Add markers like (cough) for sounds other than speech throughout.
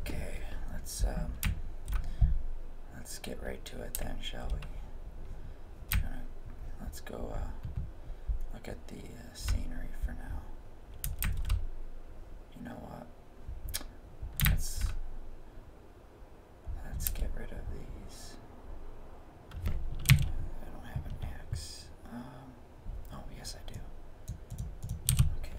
Okay, let's um, let's get right to it then, shall we? let's go uh, look at the uh, scenery for now. You know what? Let's let's get rid of these. I don't have an axe. Um, Oh, yes, I do. Okay.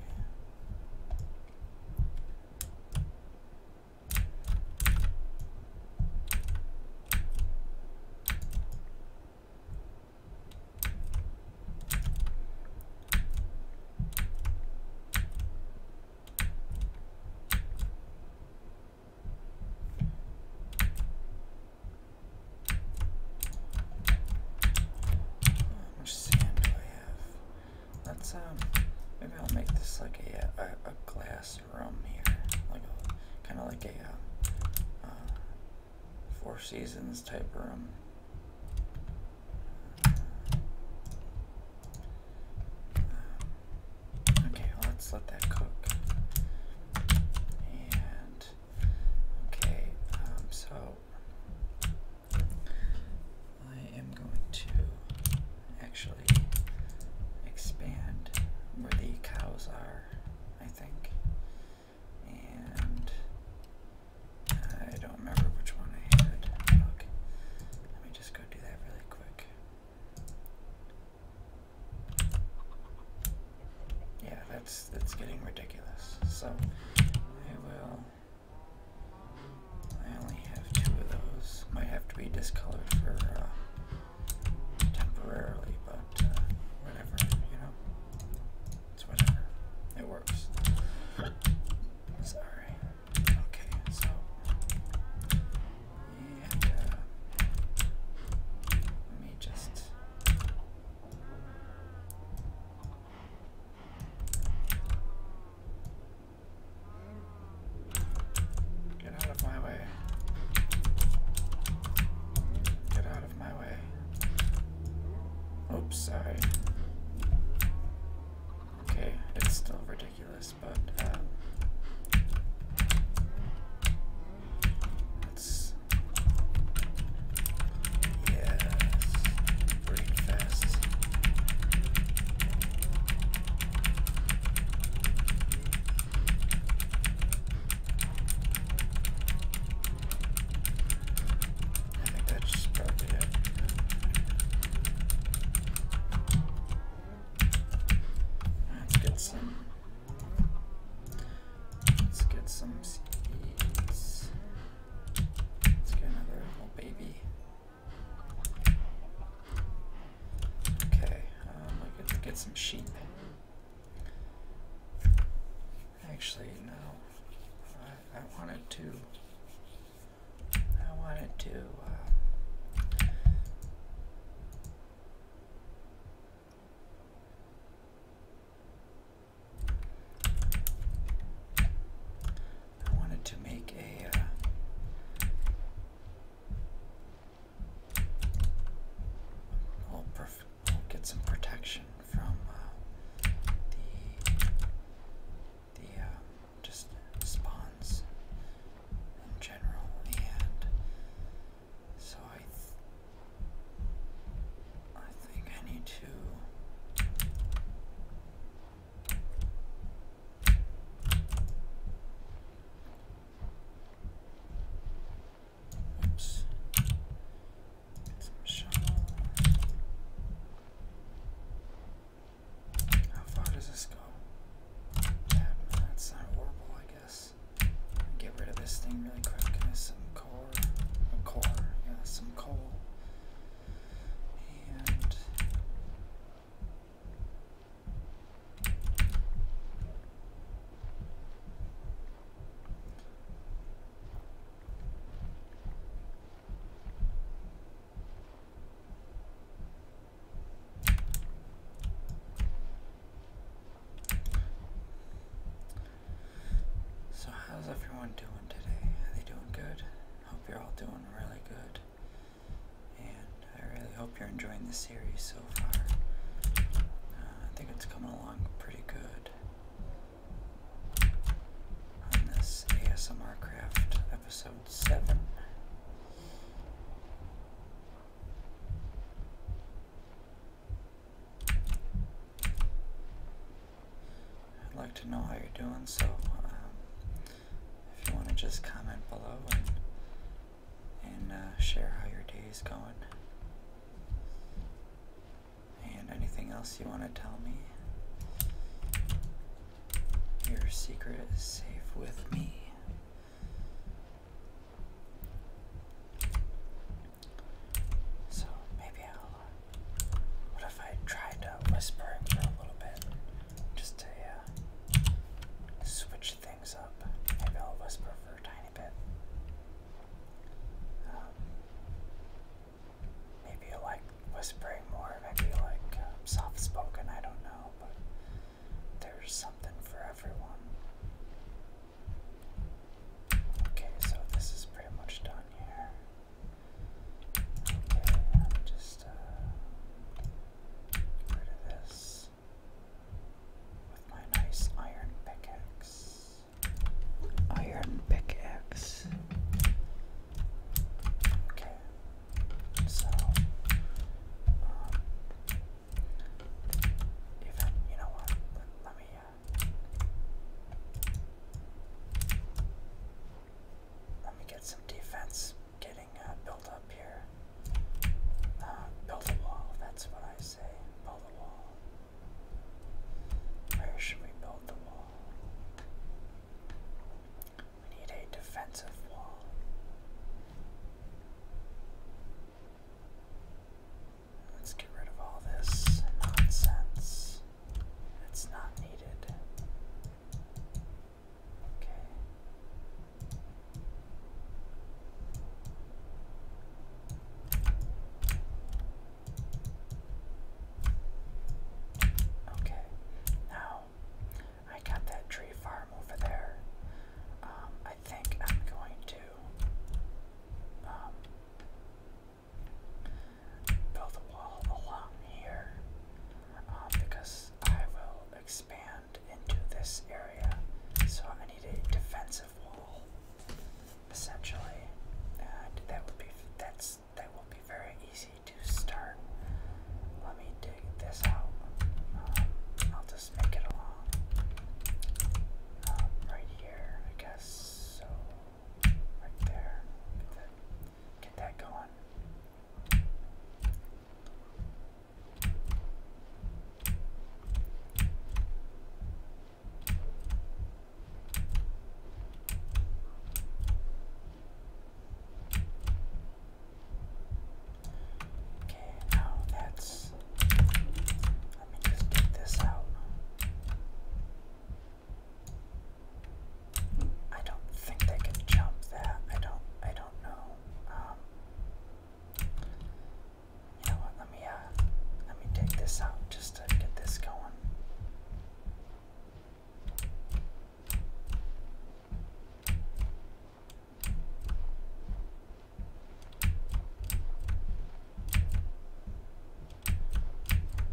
How much sand do I have? Let's um, maybe I'll make this like a uh, a, glass room here, like a kind of like a um, uh, Four Seasons type room. Uh, okay, let's let that cook. And okay, um, so I am going to actually expand where the cows are, I think. And I don't remember which one I had. Look, let me just go do that really quick. Yeah, that's getting ridiculous. So I will. I only have two of those. Might have to be discolored for uh, temporarily, but uh, whatever, you know. It works. Sorry. Okay, so. Uh, let me just Get out of my way. Get out of my way. Oops, sorry. Okay, it's still ridiculous, but um, uh, let Yes. Breakfast. I think that's probably it. Let's get some. Let's get some seeds. Let's get another little baby. Okay, um, we could get some sheep. Actually, no. I, wanted to. I wanted to. Uh, I wanted to make a uh, get some protection from uh, the the uh, just spawns in general, and so I. I think I need to. Oops. Get How far does this go? Yeah, that's not horrible, I guess. Get rid of this thing really quick. There's car, a car, yeah, some coal, and so, how's everyone doing today? Are they doing good? Hope you're all doing really good. And I really hope you're enjoying the series so far. Uh, I think it's coming along pretty good on this ASMR Craft episode 7. I'd like to know how you're doing, so um, if you want to just comment below and, and uh, share how your day is going. And anything else you want to tell me, your secret is safe with me. So maybe I'll. Uh, what if I tried uh, whispering a little bit? Just to uh, switch things up. Maybe I'll whisper for a tiny bit. Um, maybe you like whispering more, maybe you like uh, soft spoken, I don't know, but there's something for everyone. Okay, so this is pretty much done here. I'm just uh, rid of this with my nice iron pickaxe. Iron pickaxe. Okay. So, even um, you know what? Let, me uh, let me get some defense getting uh, built up here. Uh, build a wall, that's what I say. Build a wall. Where should we build the wall? We need a defensive wall. Let's get rid of all this nonsense. That's not needed. Okay. Okay, now I got that tree farm over there. Um, I think I'm going to um, build a wall along here um, because I will expand into this area. So I need a defensive wall, essentially, and that would be that's that will be very easy to start. Let me dig this out. Um, I'll just make it along um, right here, I guess. So Right there. Get that, going. Okay, now that's. Let me just get this out. I don't think they can jump that. I don't I don't know. Um, you know what, let me uh let me take this out just to get this going.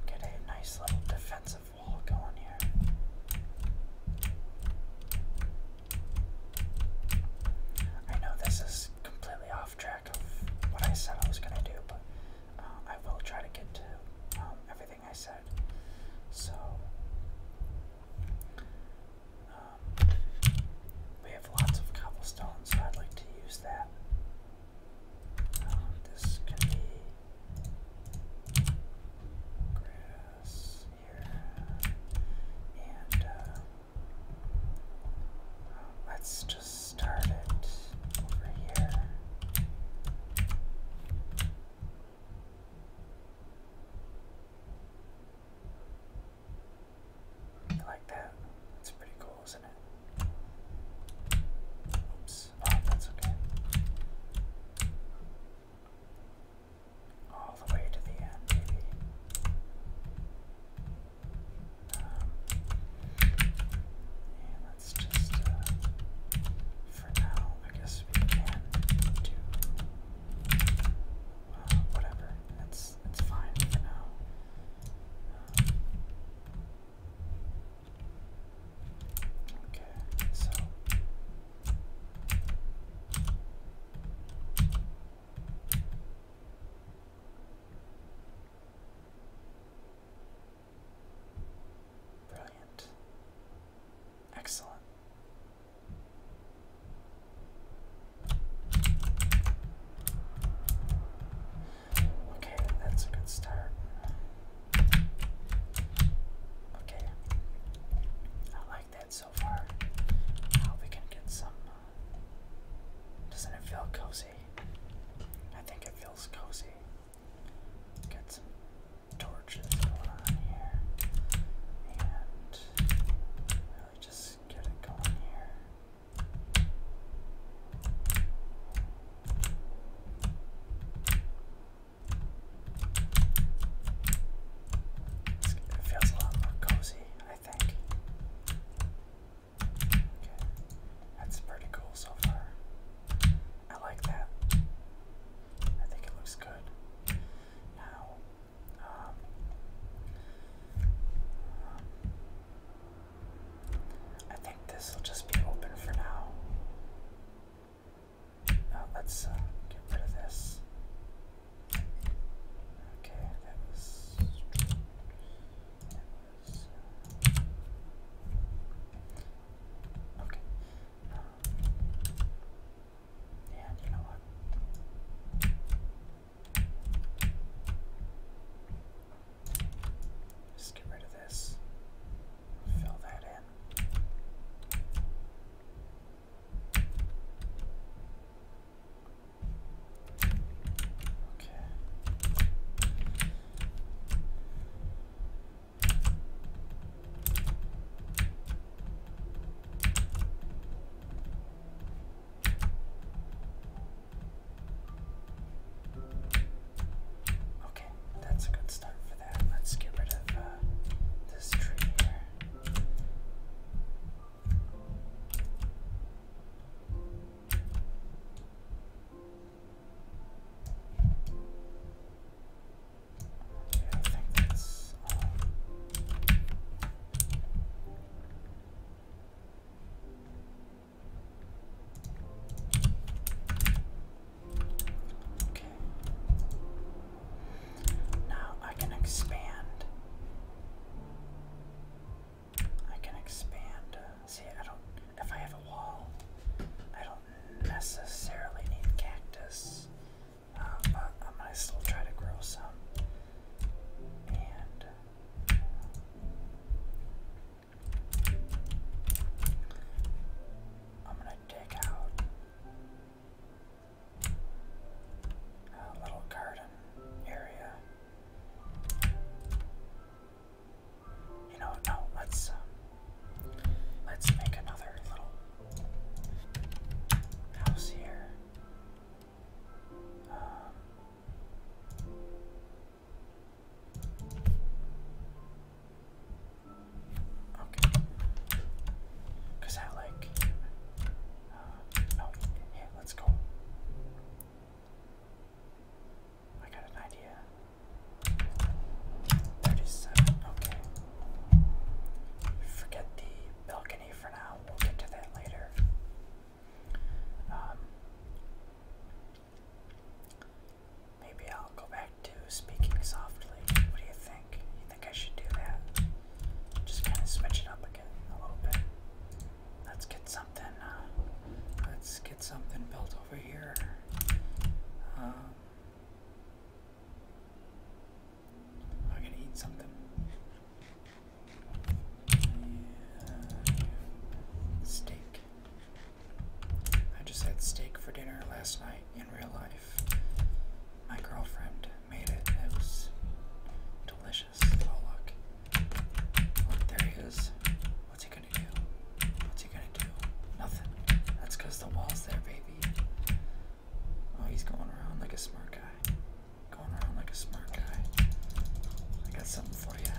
Get a nice little defensive wall going here. I know this is completely off track of what I said I was going to do, but uh, I will try to get to um, everything I said. So, um, we have lots of cobblestone, I'd like to use that. Uh, let's just start it over here. Like that. That's pretty cool. All the way to the end, maybe. Um, let's just, uh, for now, I guess we can do, uh, whatever. It's, it's fine for now. Um, Okay, so Brilliant. Excellent. Okay, that's a good start. Okay, I like that so far. Now we can get some. Uh, doesn't it feel cozy? I think it feels cozy. Get some torches going on here. And really just get it going here. It feels a lot more cozy, I think. Okay, that's pretty cool so far. I like that. I think it looks good. Now, um, I think this will just be open for now. let's uh, get rid of this. Okay, uh, okay. Um, you know what? Just get rid of this. Fill that in. Okay. Okay, that's a good start for that. Let's get rid of uh, this tree here. Yeah, I think that's Okay. Now I can expand. I can expand. see, I don't. If I have a wall, I don't necessarily need cactus. Uh, I'm still try to grow some. And. I'm gonna dig out a little garden area. You know, no, let's um, let's make another little house here. Um, Okay. Cause I like. Uh, oh, yeah. Let's go. I got an idea. Thirty-seven. Okay. Forget the balcony for now. We'll get to that later. Um, Maybe I'll go back to speaking softly. What do you think? You think I should do that? Just kind of switch it up again a little bit. Let's get something. Uh, let's get something built over here. Um, I'm gonna eat something. Yeah, steak. I just had steak for dinner last night in real life. My girlfriend made it. It was delicious. Oh look. Look, there he is. What's he gonna do? What's he gonna do? Nothing. That's the wall's there, baby. Oh, he's going around like a smart guy. Going around like a smart guy. I got something for you.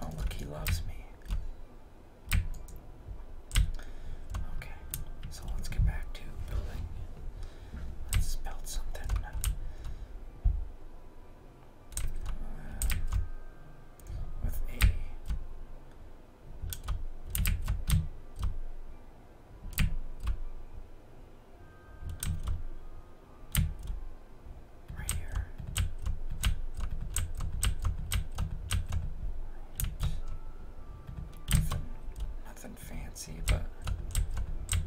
Oh, look, he loves me. Okay, so let's get back to building. Let's build something. Uh, with a. Right here. Nothing, fancy, but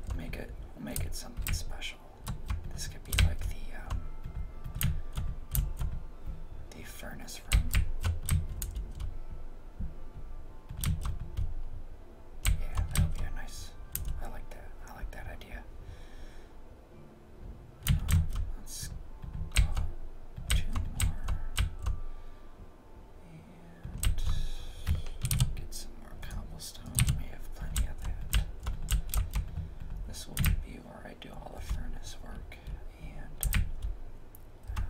we'll make it make it something special. This could be like the um, the furnace room. Yeah, that'll be a nice. I like that. I like that idea. let's two more and get some more cobblestone. We have plenty of that. This will be where I do all the furnace work and uh,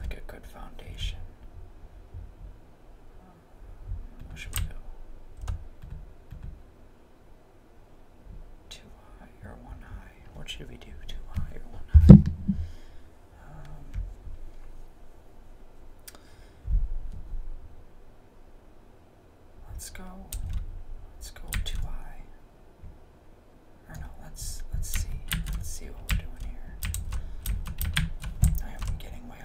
like a good foundation. Two high or one high? What should we do? Two high or one high? Um, let's go. Let's go two high. Or no, let's let's see. Let's see what we're doing here. I am getting way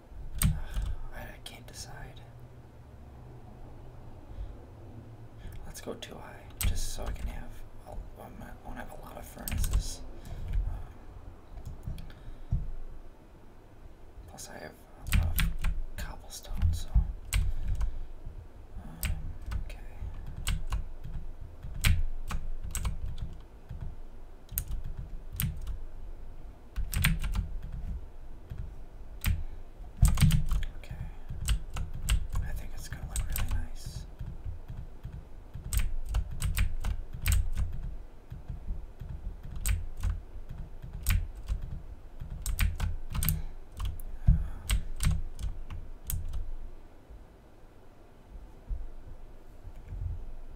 (sighs) I, can't decide. Let's go too high, just so I can have. I'll, will not have a lot of furnaces. Um, plus, I have a cobblestone, so. Um, okay. Okay. I think it's going to look really nice.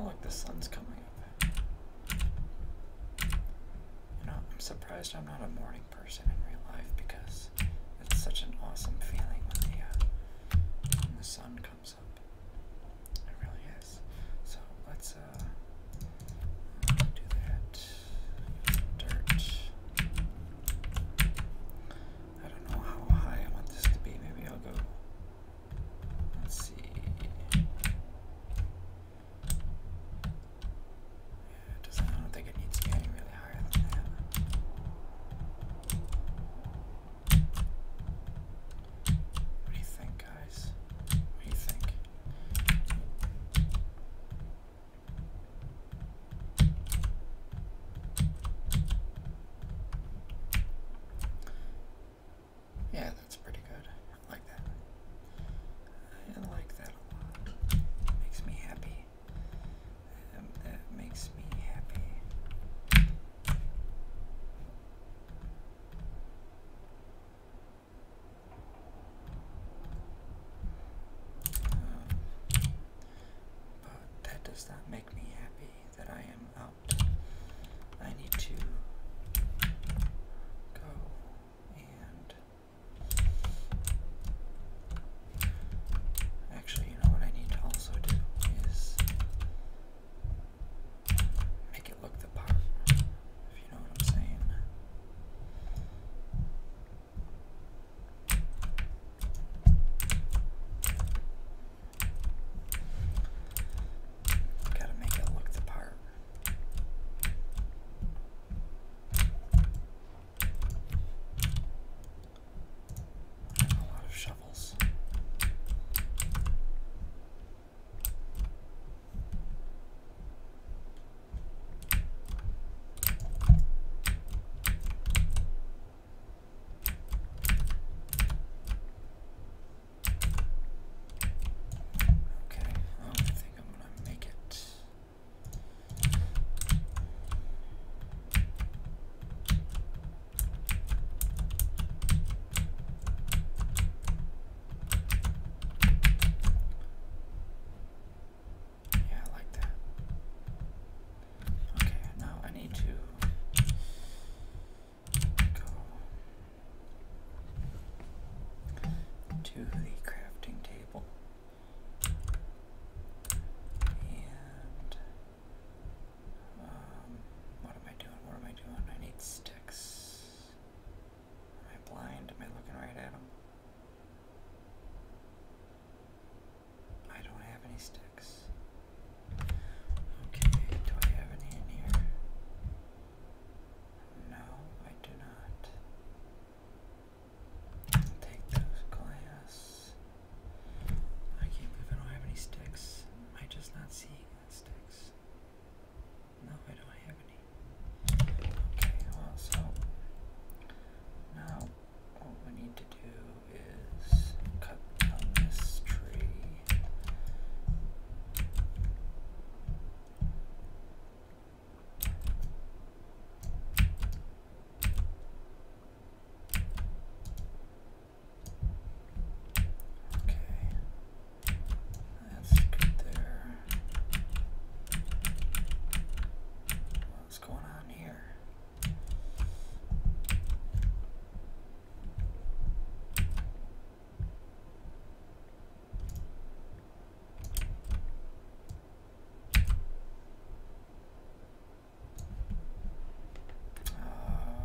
I'll the sun's coming up. You know, I'm surprised I'm not a morning person in real life because it's such an awesome feeling when the uh, when the sun comes up. It really is. So let's uh, uh, do that. Dirt. I don't know how high I want this to be. Maybe I'll go. Let's see. Yeah, doesn't. I don't think it needs to be really higher than that. What do you think, guys? What do you think? Yeah, that's pretty good. I like that. I like that a lot. makes me happy. Um, that makes me happy but that does not make me happy that I am out. I need to go and. Actually, you know what I need to also do is make it look the part. I'm saying. Gotta make it look the part. a lot of shovels. Okay, I think I'm going to make it. Yeah, I like that. Okay, now I need to go to the crafting table and um, what am I doing? What am I doing? I need sticks. Am I blind? Am I looking right at him? I don't have any sticks. Okay, do I have any in here? No, I do not. take those glass. I can't believe I don't have any sticks. Am just not seeing the sticks? No, I don't have any. Okay, well, so now what we need to do is cut down this tree. Okay. That's good there. What's going on here? Uh,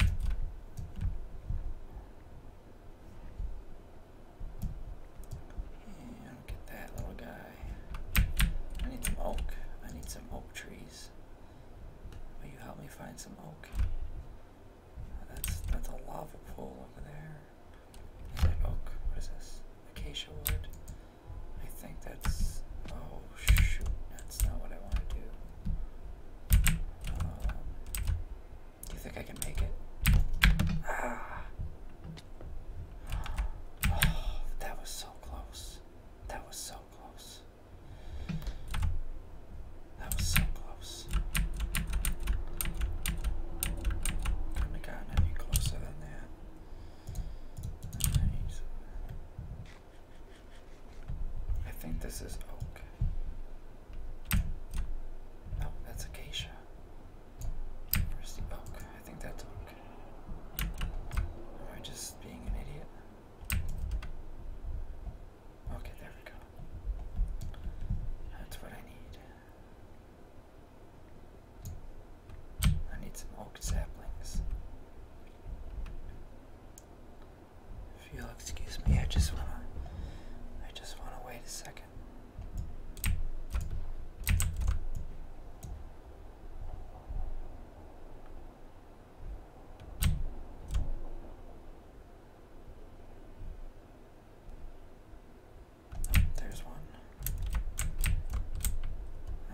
Yeah, look at that little guy. I need some oak. I need some oak trees. Will you help me find some oak? Uh, that's that's a lava pool over there. Is that oak? What is this? Acacia wood? I think that's oh shoot. That's not what I want to do. do um, you think I can make it? Ah. Oh, that was so close. That was so close. That was so close. Couldn't have gotten any closer than that. Nice. I think this is oak. No, that's acacia. Where's the oak? I think that's oak. Am I just being an idiot? Okay, there we go. That's what I need. I need some oak saplings. If you'll excuse me, I just wanna I just wanna wait a second. Oh, there's one.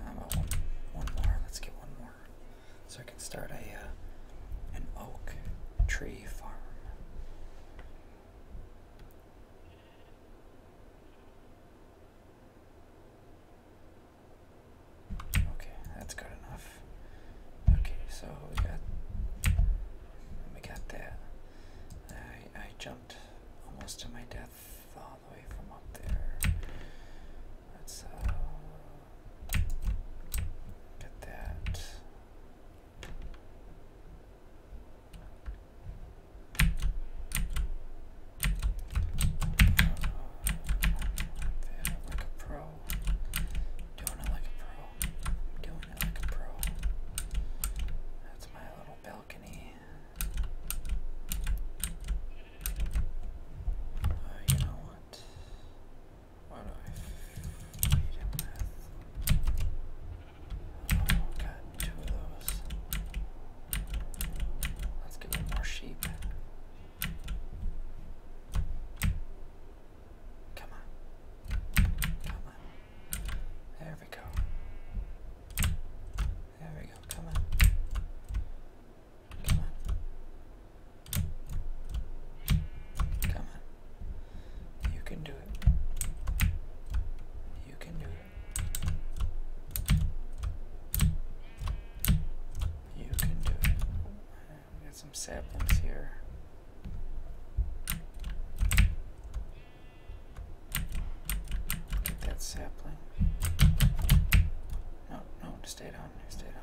about uh, one, one more? Let's get one more. So I can start a uh, an oak tree farm. Okay, that's good enough. Okay, so we got we got that. I I jumped almost to my death all the way from up there. Let's uh, get that. Doing oh, it like a pro. Doing it like a pro. Doing it like a pro. That's my little balcony. you know not what do I feed him with? Oh, got two of those. Let's give more sheep. Come on. Come on. There we go. There we go. Come on. Come on. Come on. You can do it. You can do it. You can do it. We got some saplings here. Get that sapling. No, no, stay down. Stay down.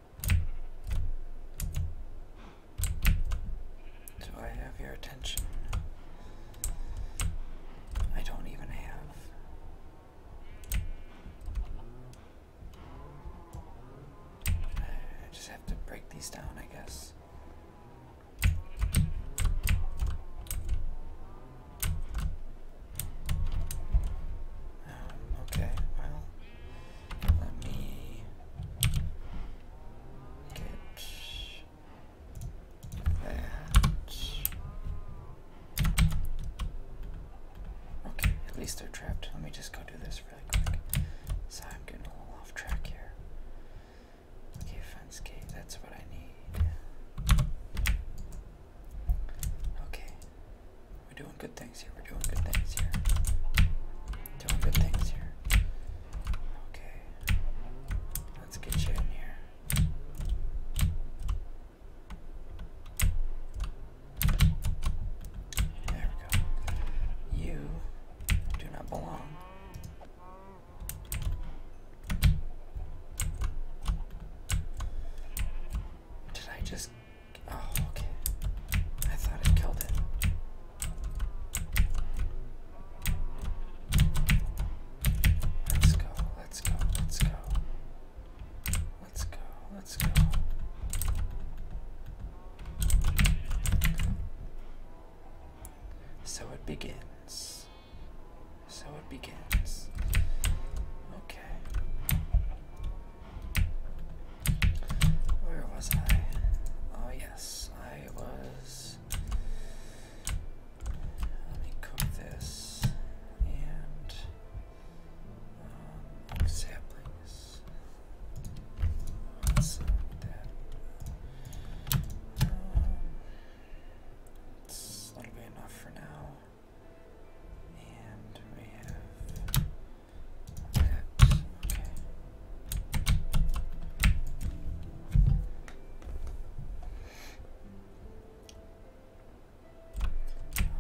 Do I have your attention? I don't even have. I just have to break these down, I guess. Um, okay, well, let me get that. Okay, at least they're trapped. Let me just go do this really quick. So I'm getting a little off track here. Okay, fence gate, that's what I need. Okay, we're doing good things here. We're doing good things here. Doing good things here. Okay. Let's get you in here. There we go. You do not belong. Did I just Oh, okay. I thought it killed it. Let's go, let's go, let's go. Let's go, let's go. So it begins. So it begins. Okay. Where was I? Oh, yes, I was. Let me cook this and um, saplings. Let's look that'll um, be enough for now. And we have that's okay.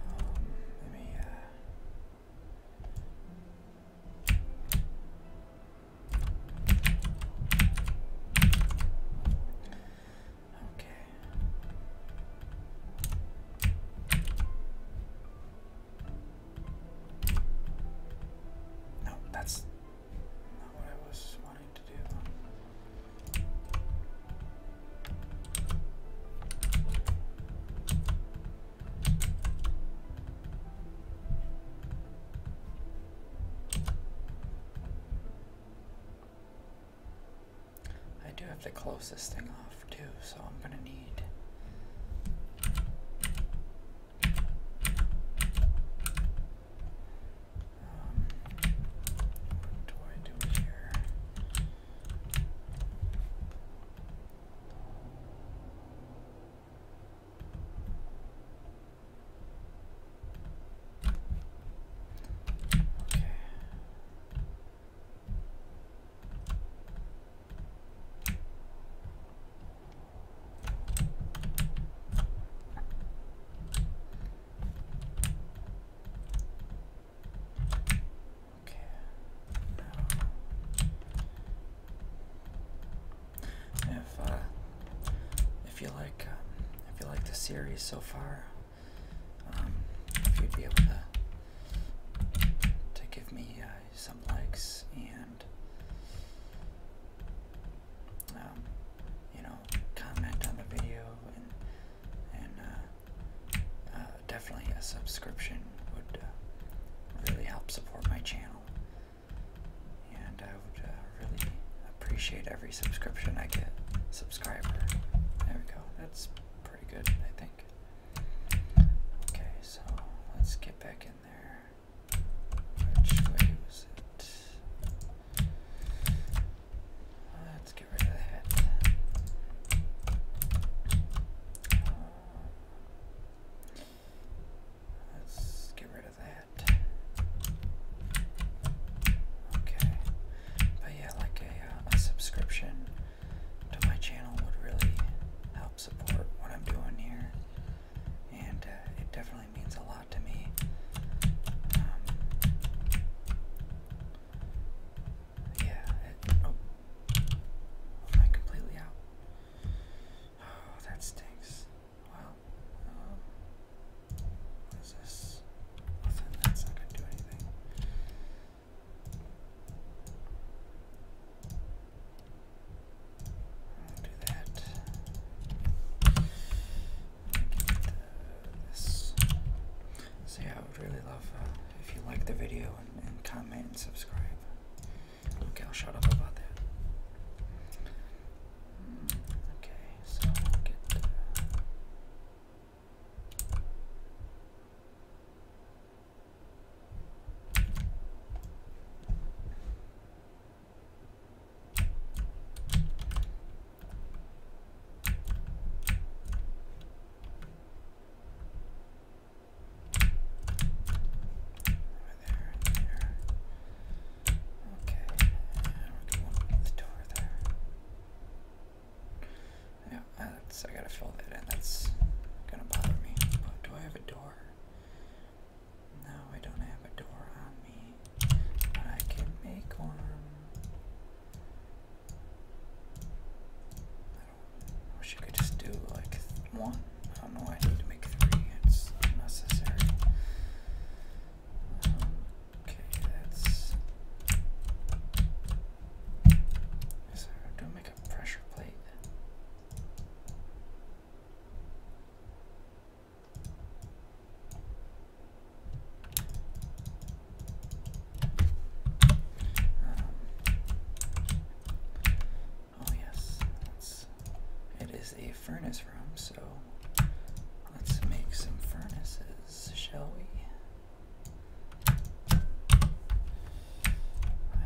Um, let me, uh, Okay. No, that's not what I was wanting to do. I do have the closest thing off two, so I'm gonna need. Um, what do I do here? Okay. Okay. Now, if uh, if you like um, if you like the series so far, um, if you'd be able to to give me uh, some likes and um, you know comment on the video and uh, uh, definitely a subscription would uh, really help support my channel and I would really appreciate every subscription I get subscriber there we go that's pretty good I think okay so let's get back which way was it? Let's get rid of that. let's get rid of that. Okay. But yeah, like a, uh, a subscription to my channel would really help support what I'm doing here, and uh, it definitely means a lot to me. Um, yeah. Oh, oh, am I completely out? Oh, that stinks. Well, um, what is this? Nothing. That's not gonna do anything do that. Get, uh, So yeah, I would really love uh, if you like the video and, comment and subscribe. Okay, I'll shut up about that. okay, so get. Uh, there there. Okay, and door there. Yeah, that's, I gotta fill that in. That's gonna bother me. do I have a door? No, I don't have a door on me, but I can make one. I, wish I could just do like one. I don't know I need to make three, it's unnecessary. Um, okay, that's. So, do I make a pressure plate? Um, oh yes, is a furnace room, so let's make some furnaces, shall we? I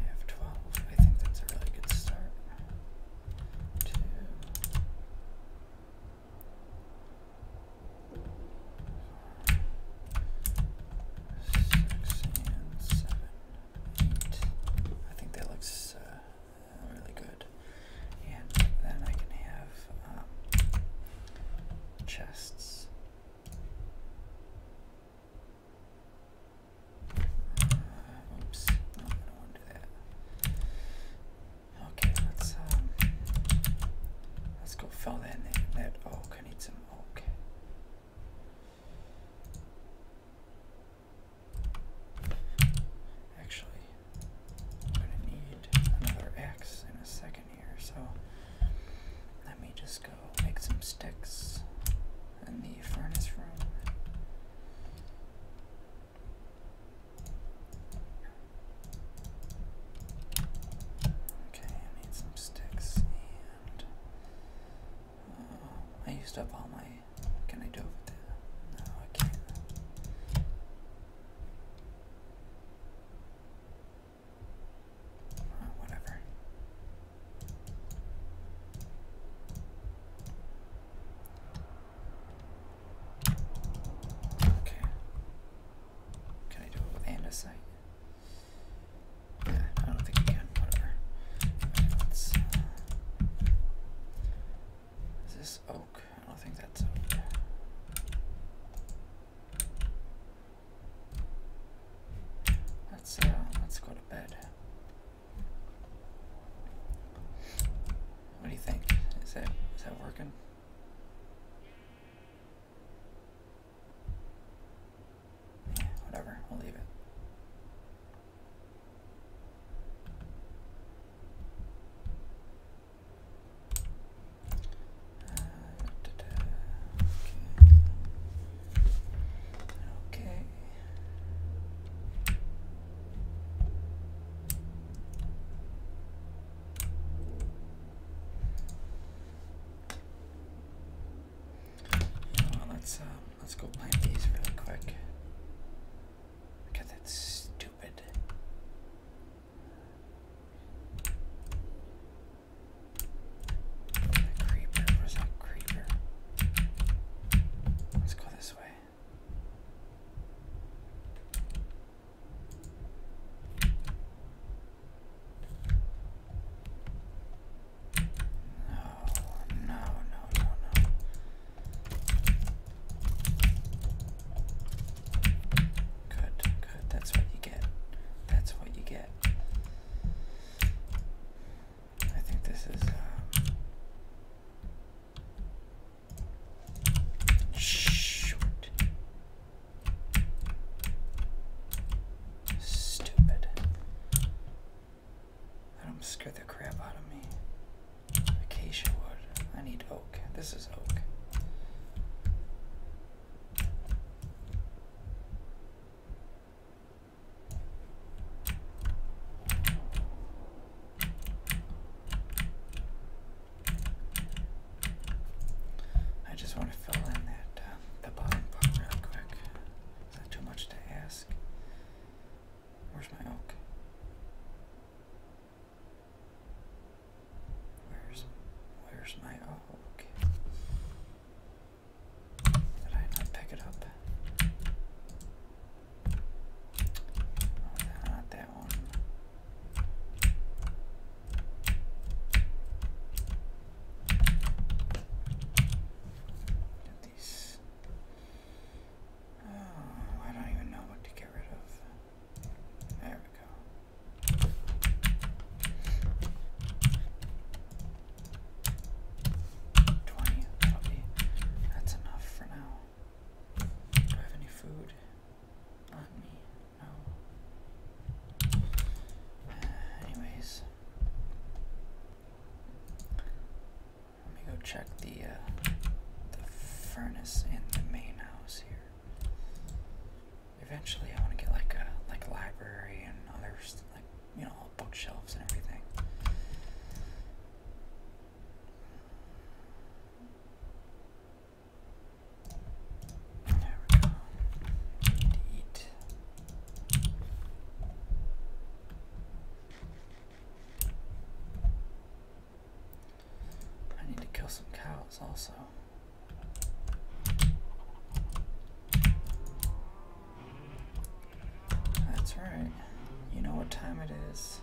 have 12. I think that's a really good start. Two. Six and seven, eight. I think that looks uh, really good. And then I can have um, chests. Oops, Okay, let's um, let's go fill that in that oak. I need some oak. Actually, I'm gonna need another axe in a second here, so let me just go make some sticks in the furnace room. Okay, I need some sticks uh, I used up all my. Can I do it No, I can't. whatever. Okay. Can I do it with andesite? Yeah, I don't think I can. Whatever. Uh, is this oak? I don't think that's Let's uh, let's go to bed. What do you think? Is that is that working? whatever, we'll leave it. Uh, Okay. You let's um, let's go plant these really quick. Look that stupid. creeper, where's that creeper? Let's go this way. No, no, no, no, no. Good, good. That's what you get. That's what you get. I think this is. Uh, short. Stupid. Let him scare the crap out of me. Acacia wood. I need oak. This is oak. I just want to fill in that uh, the bottom part real quick. Is that too much to ask? Where's my oak? Where's where's my oak? Did I not pick it up? Oh, not that one. Get these. Oh, I don't even know what to get rid of. There we go. 20, that that's enough for now. Do I have any food on me? No. Uh, anyways, let me go check the, uh, the furnace in the main house here. Eventually, I want to get like a like library and other like you know, all bookshelves and everything. eat. I need to kill some cows also. That's right. You know what time it is.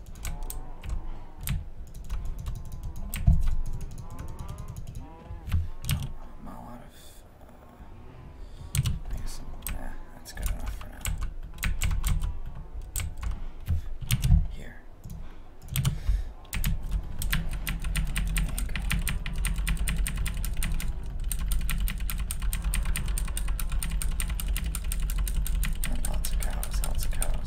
I'm out of. I guess eh, that's good enough for now. Here. lots of cows, lots of cows.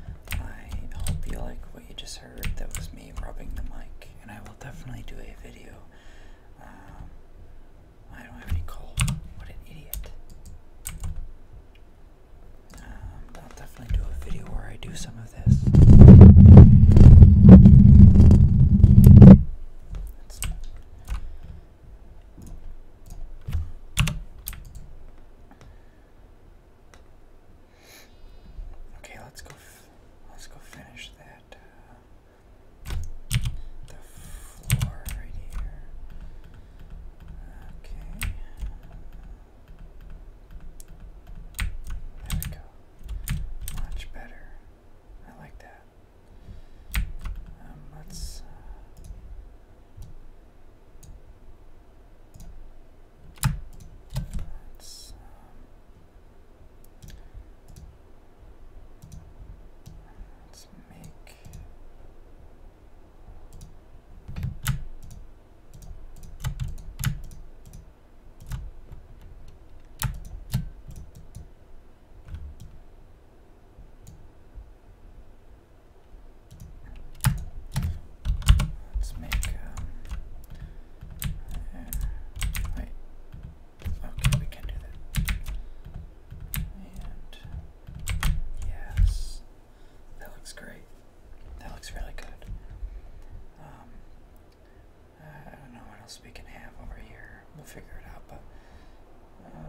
I hope you like what you just heard. That was me rubbing the mic, and I will definitely do a video. Um, I don't have any coal. What an idiot. Um, I'll definitely do a video where I do some of this. okay, let's go. Let's go finish that. Uh, the floor right here. Okay. There we go. Much better. I like that. Um, let's. Uh, um, let's make. Let's make um, wait. Okay, we can do that. And yes. That looks great. That looks really good. Um, I don't know what else we can have over here. We'll figure it out, but um,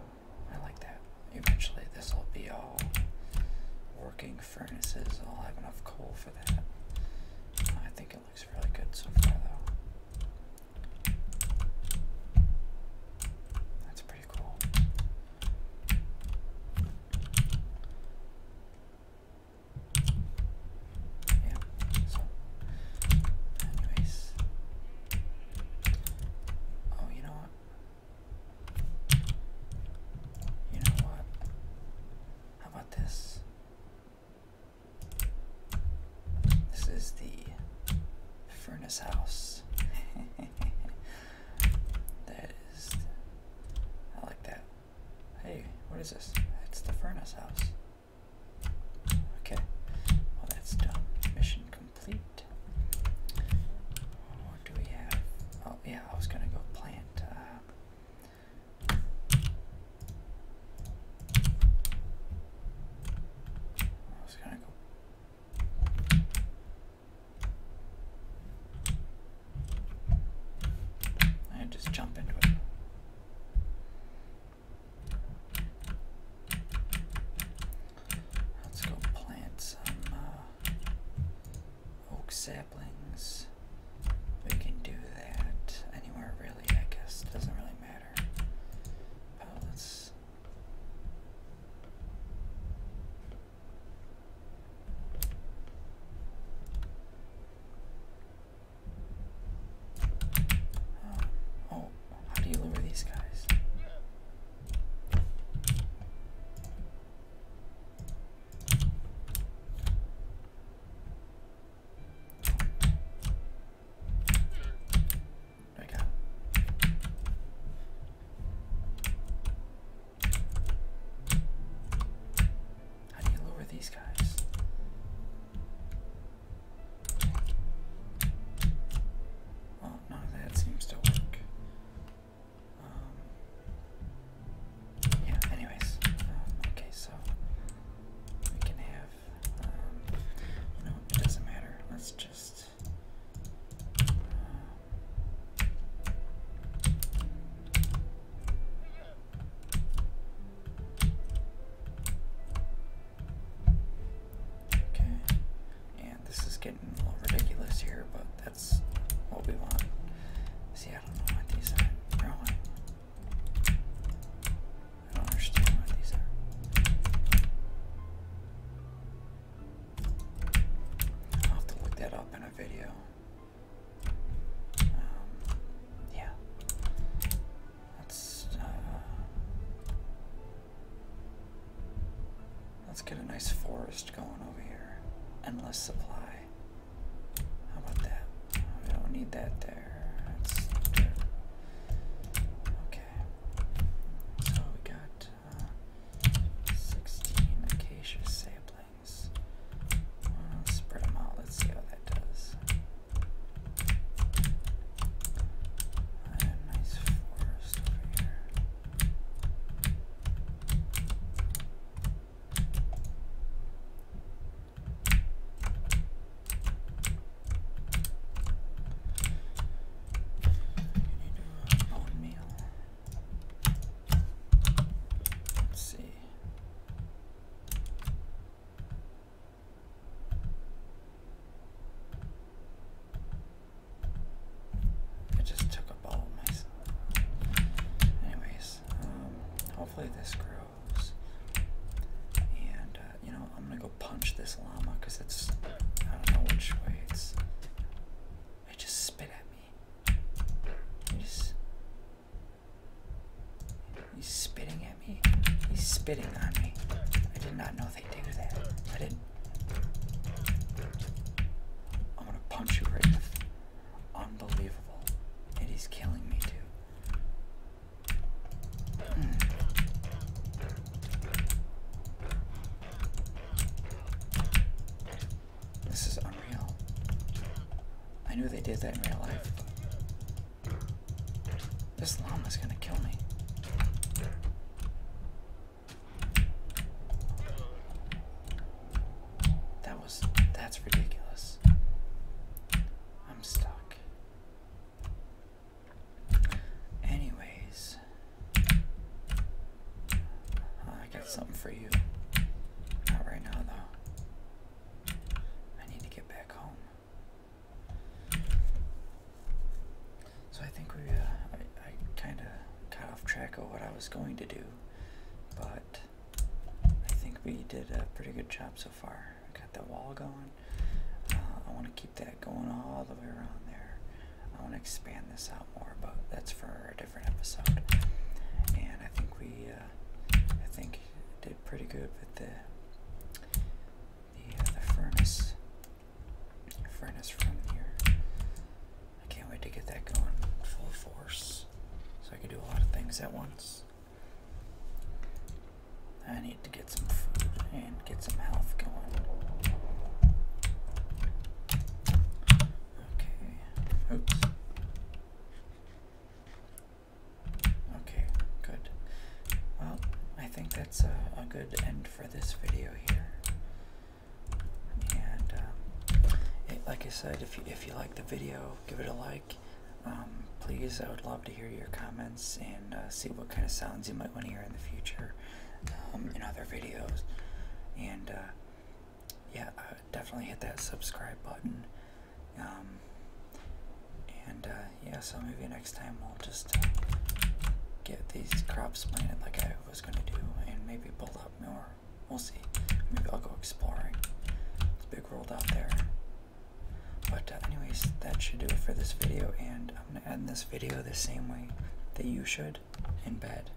I like that. Eventually, this will be all working furnaces. I'll have enough coal for that. I think it looks really good so far, though. That's pretty cool. Oh, you know what? You know what? How about this? This is the furnace house. (laughs) that is I like that. Hey, what is this? It's the furnace house. Okay, well that's done. Mission complete. What do we have? Oh yeah, I was gonna go plant. Uh, I was gonna go. I just jump into it. Let's go plant some uh, oak saplings. We can do that anywhere, really, I guess. doesn't really matter. Oh, let's. Um, oh, how do you lure these guys? There we go. How do you lower these guys? Well, no, that seems to work. Um, yeah, anyways. Um, okay, so we can have. Um, no, it doesn't matter. Let's just. Uh, Okay, and this is getting a little ridiculous here, but that's what we want. See, I don't know what these are. I don't understand what these are. I'll have to look that up in a video. Um, yeah. Let's, uh, let's get a nice forest going over here. Endless supply. How about that? We need that there. That's okay. we got 16 acacia saplings. spread them out. Let's see how that does. I have a nice forest over here. You need a uh, bone meal. Let's see. I just took up all myself. Anyways, um, hopefully this grows. And, uh, you know, I'm gonna go punch this llama because it's. I don't know which way it's. It just spit at me. He's, he's spitting at me. He's spitting on me. I did not know they do that. I didn't. I'm gonna punch you right in the. face. Unbelievable. And he's killing me too. Hmm. This is unreal. I knew they did that in real life. This llama is gonna kill me. That was. That's ridiculous. I'm stuck. Anyways, I got something for you. Not right now, though. I need to get back home. So I think we, uh, I, I kind of got off track of what I was going to do, but I think we did a pretty good job so far. We got the wall going. Uh, I want to keep that going all the way around there. I want to expand this out more, but that's for different episode. And I think we, uh, I think did pretty good with the the, uh, the furnace, furnace from here. I can't wait to get that going full force, so I can do a lot of things at once. I need to get some food and get some health going. Okay. Oops. Okay, good. Well, I think that's a, good end for this video here. And um, like I said, if you if you like the video, give it a like. Um, please, I would love to hear your comments and uh, see what kind of sounds you might want to hear in the future um, in other videos. And uh, yeah, uh, definitely hit that subscribe button. Um, and uh, yeah, so maybe next time we'll just uh, get these crops planted like I was gonna do, and maybe build up more. We'll see. Maybe I'll go exploring. It's a big world out there. But anyways, that should do it for this video, and I'm gonna end this video the same way that you should in bed.